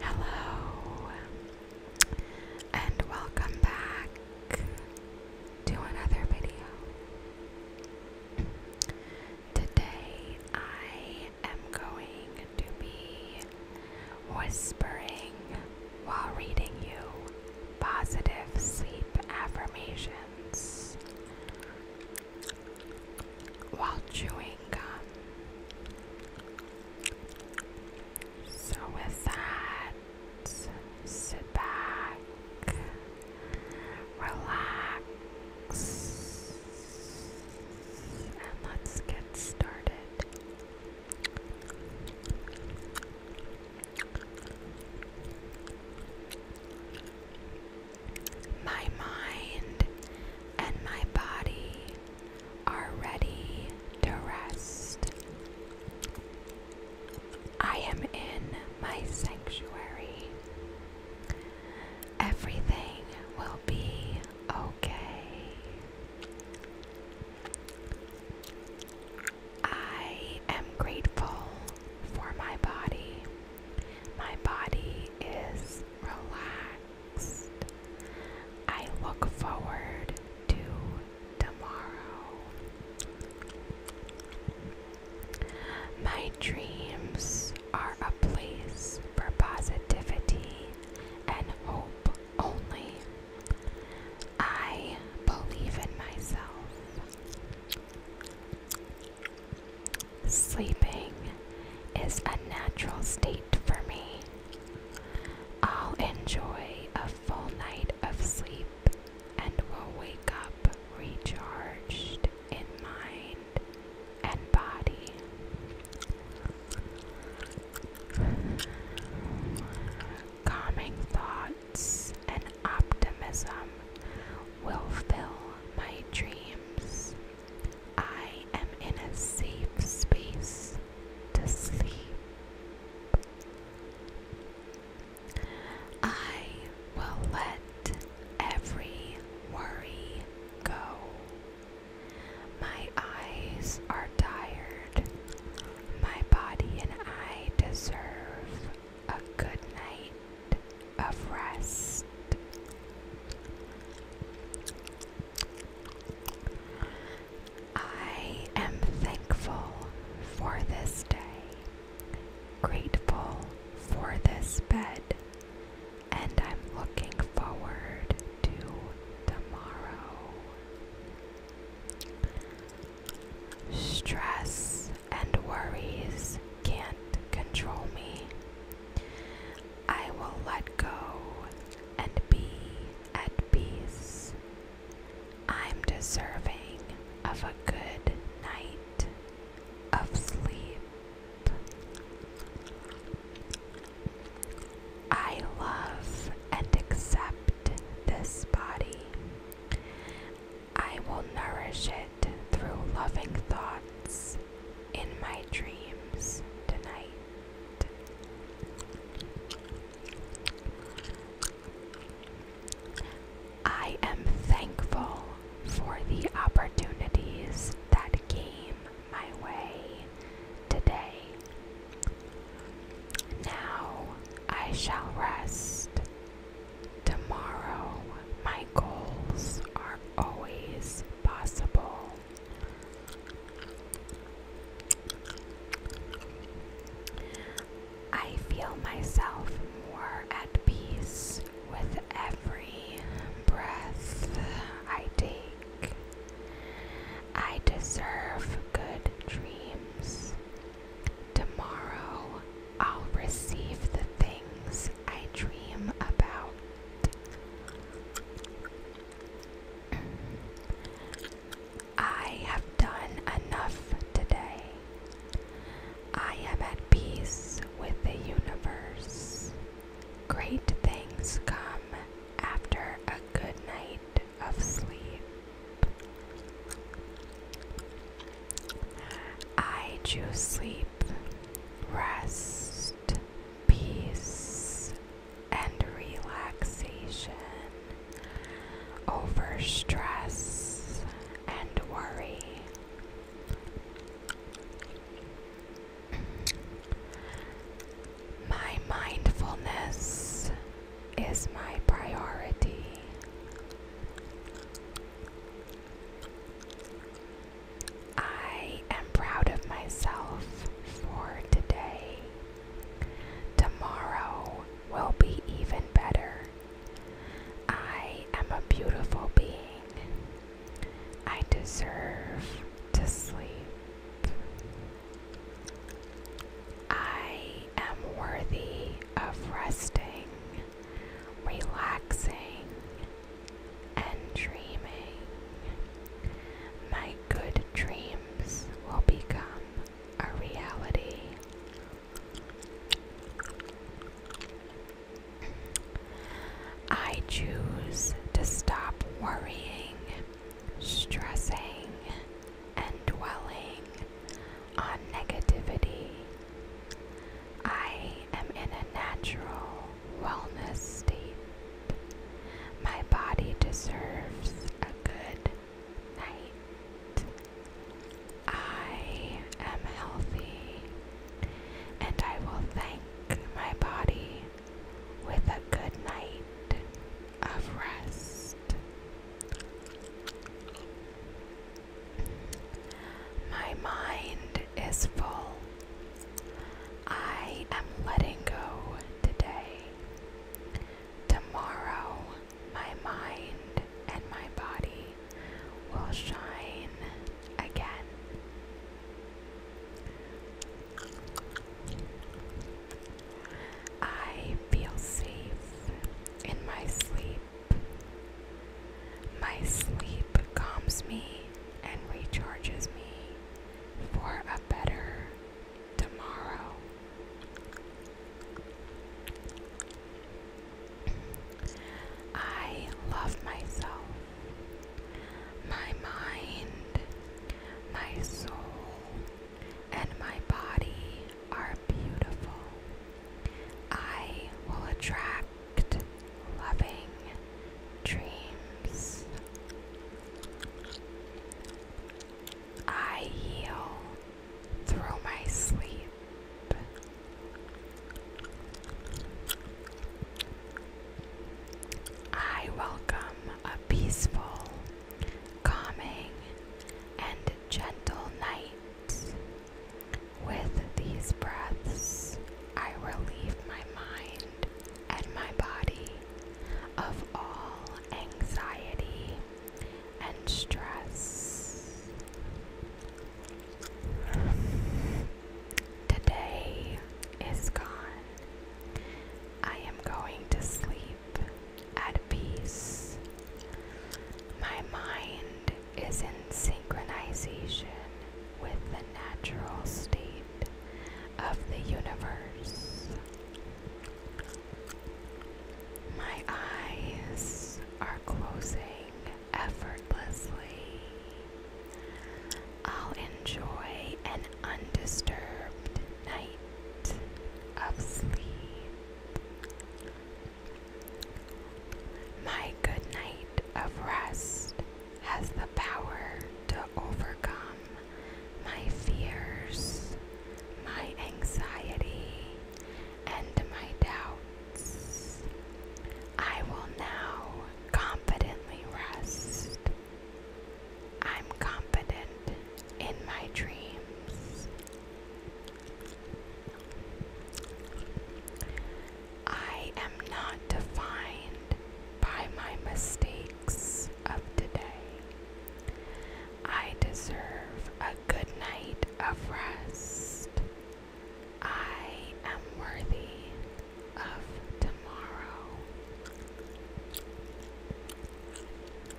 Hello, and welcome back to another video. Today I am going to be whispering while reading you positive sleep affirmations while chewing gum. So, with that, sit back, relax, and let's get started. My mind and my body are ready to rest. I am in my sanctuary. Everything will be okay. I am grateful for my body. My body is relaxed. I look forward to tomorrow. My dreams are a place for positivity and hope only. I believe in myself. Sleeping is a natural state for me. I'll enjoy a full night of sleep and will wake up recharged in mind and body. Calming thoughts and optimism will fill my dreams. I am in a safe space to sleep. I will let every worry go. My eyes are tired. My body and I deserve a good night of rest. I am thankful for this day, grateful for this bed, and I'm looking forward to tomorrow. Stress and worries can't control me. I will let go and be at peace. I'm deserving of a good night of sleep. I love and accept this body. I will nourish it through loving thoughts in my dreams tonight. I am thankful for the opportunities that came my way today. Now I shall rest Tomorrow, my goals are always possible. I feel myself more at peace with every breath I take. I deserve good dreams. Tomorrow I'll receive the things I dream about. I have done enough today. I am at peace with the universe. Great things come after a good night of sleep. I choose sleep rest, peace, and relaxation over stress and worry. My mindfulness is my priority. I am proud of myself for today. Tomorrow will be even better. I am a beautiful being. I deserve to sleep. I am worthy of resting relaxing, and dreaming. My good dreams will become a reality. I choose to stop worrying, stressing, and dwelling on negativity. I am in a natural wellness state. My body deserves a good night. I am healthy and I will thank my body with a good night of rest. My mind is full. I am letting go today. Tomorrow, my mind and my body will shine again. I feel safe in my sleep. My sleep calms me and recharges me for a better tomorrow. I love myself, my mind, my soul, and my body are beautiful. I will attract loving dreams. I heal through my sleep. I welcome a peaceful, calming, and gentle night. With these breaths, I relieve my mind and my body of all anxiety and stress. Today is gone. I am going to sleep at peace. My mind is in synchronization with the natural state of the universe. My eyes are closing effortlessly. I'll enjoy an undisturbed night of sleep. My good night of rest has the power to overcome my fears, my anxiety, and my doubts. I will now confidently rest. I'm confident in my dreams. I am not defined by my mistakes of today. I deserve a good night of rest. I am worthy of tomorrow.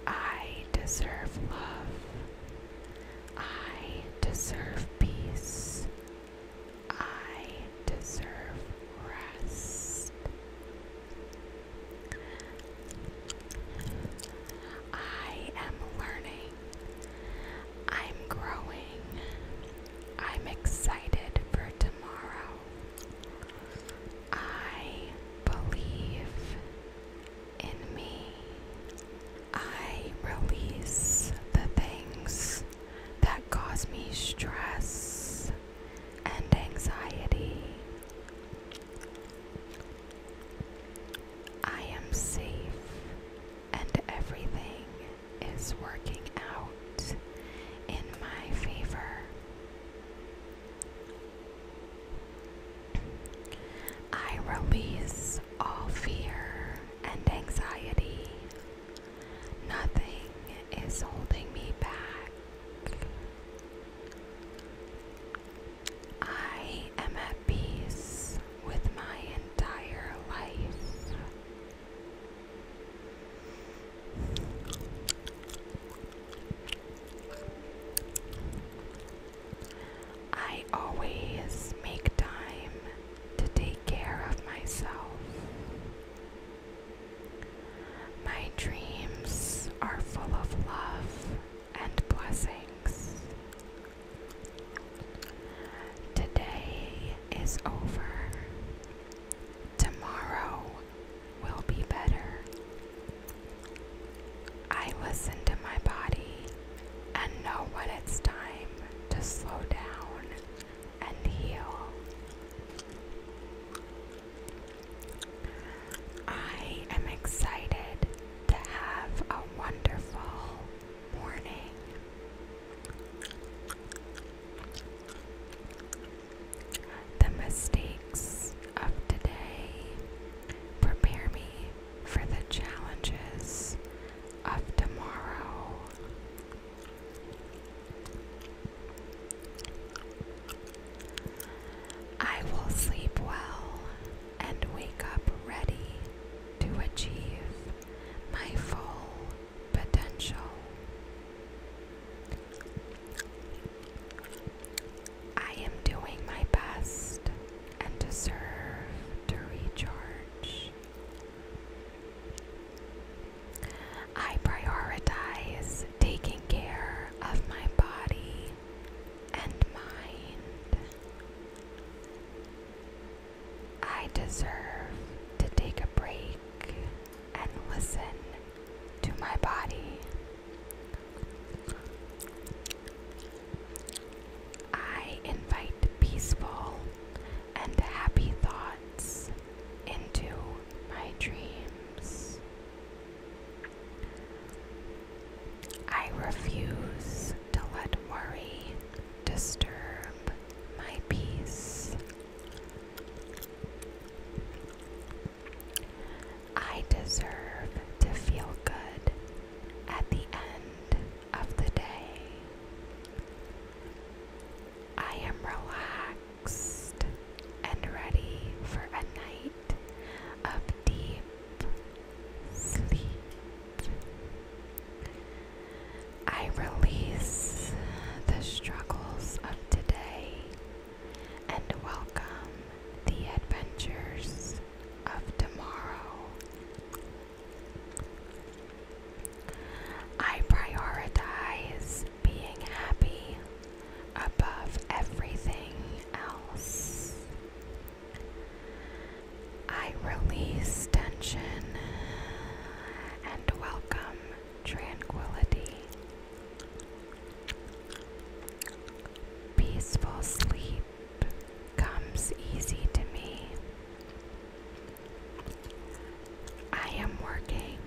I deserve love. I deserve peace. I deserve rest. I am learning. I'm growing. I'm excited for tomorrow. I believe in me. I release the things that cause me stress and anxiety. I am safe and everything is working out in my favor. I release all fear and anxiety. Nothing is holding me back. I am at peace with my entire life. I always make time to take care of myself. My dreams are full of love and blessings. Today is over. Tomorrow will be better. I listen to my body and know when it's time to slow down and heal. I am excited to have a wonderful morning. The mistakes of today Prepare me for the challenges of tomorrow. I will sleep well and wake up ready to achieve my full potential. I am doing my best and deserve to recharge. I prioritize taking care of my body and mind. I deserve to take a break and listen to my body. I invite peaceful and happy thoughts into my dreams. I refuse to let worry disturb my peace. I deserve to feel good at the end of the day. I am relaxed and ready for a night of deep sleep. I release the struggles of today and welcome the adventures of tomorrow. I prioritize being happy above everything else. I release tension and welcome tranquility. Peaceful sleep comes easy to me. I am working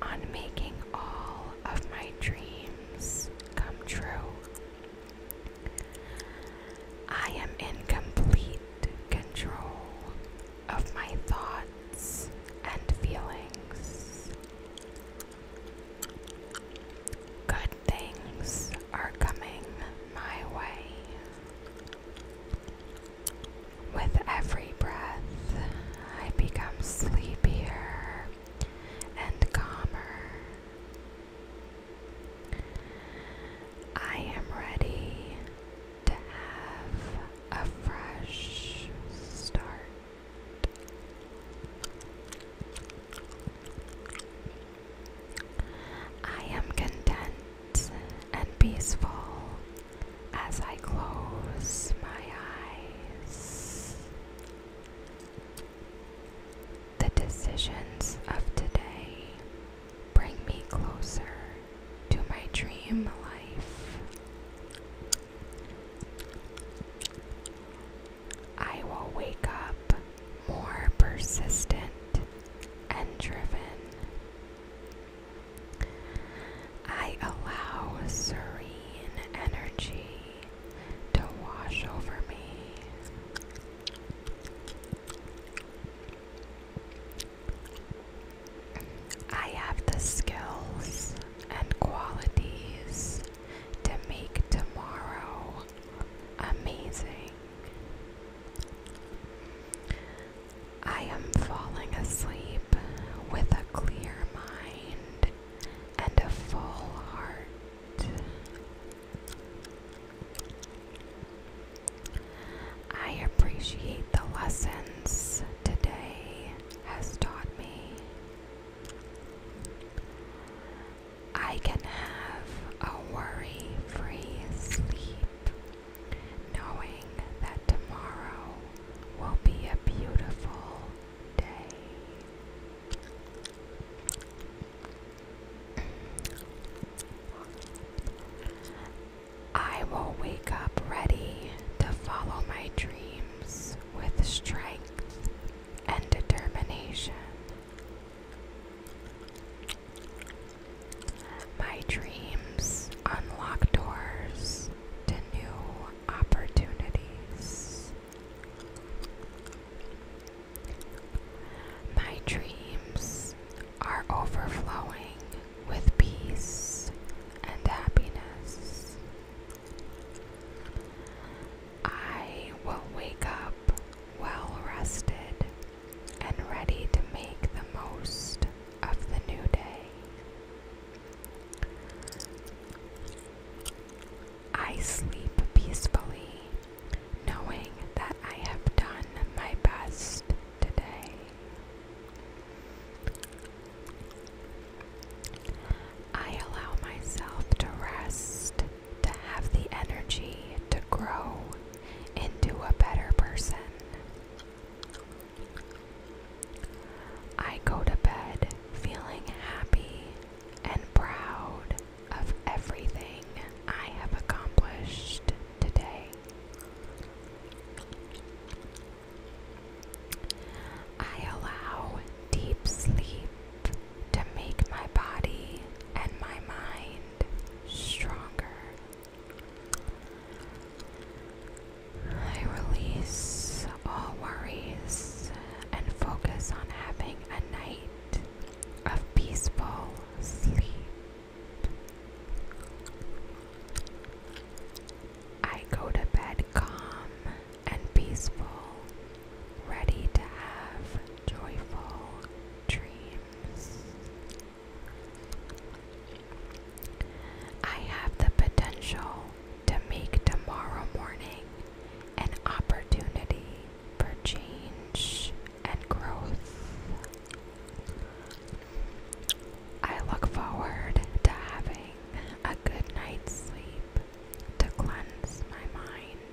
on making all of my dreams come true. I am in complete control of my thoughts and feelings. Good things are coming my way. With every breath, I become sleepier and calmer. I am ready to have a fresh start. I am content and peaceful as I close my eyes. The decisions of today bring me closer to my dream life. I will wake up more persistent and driven. I allow serene energy to wash over me. I have the skills and qualities to make tomorrow amazing. I am falling asleep with a clear mind and a full heart. I appreciate the lessons today has taught me. I can have a worry free sleep, knowing that tomorrow will be a beautiful day. I will wake up ready to follow my dreams with strength and determination. My dreams unlock doors to new opportunities. My dreams are overflowing with peace and happiness. I will wake up well rested and ready to make the most of the new day. I sleep peacefully, knowing that I have done my best today. I allow myself to rest, to have the energy to grow into a better person. I go to bed feeling happy and proud of everything I have accomplished today. I allow deep sleep to make my body and my mind stronger. I release all worries and focus on having a night of peaceful sleep. I go to bed calm and peaceful, ready to have joyful dreams. I have the potential to make tomorrow morning an opportunity for change and growth. I look forward to having good night's sleep to cleanse my mind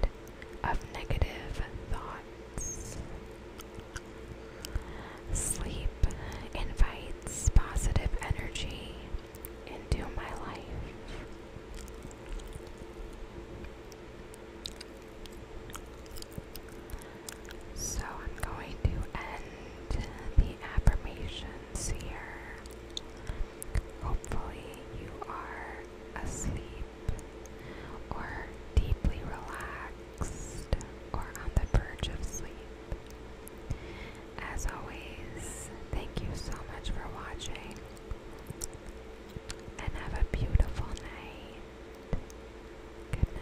of negative thoughts. Sleep invites positive energy into my life. So I'm going to end the affirmation sphere. Hopefully, you are asleep or deeply relaxed or on the verge of sleep. As always, thank you so much for watching and have a beautiful night. Good night.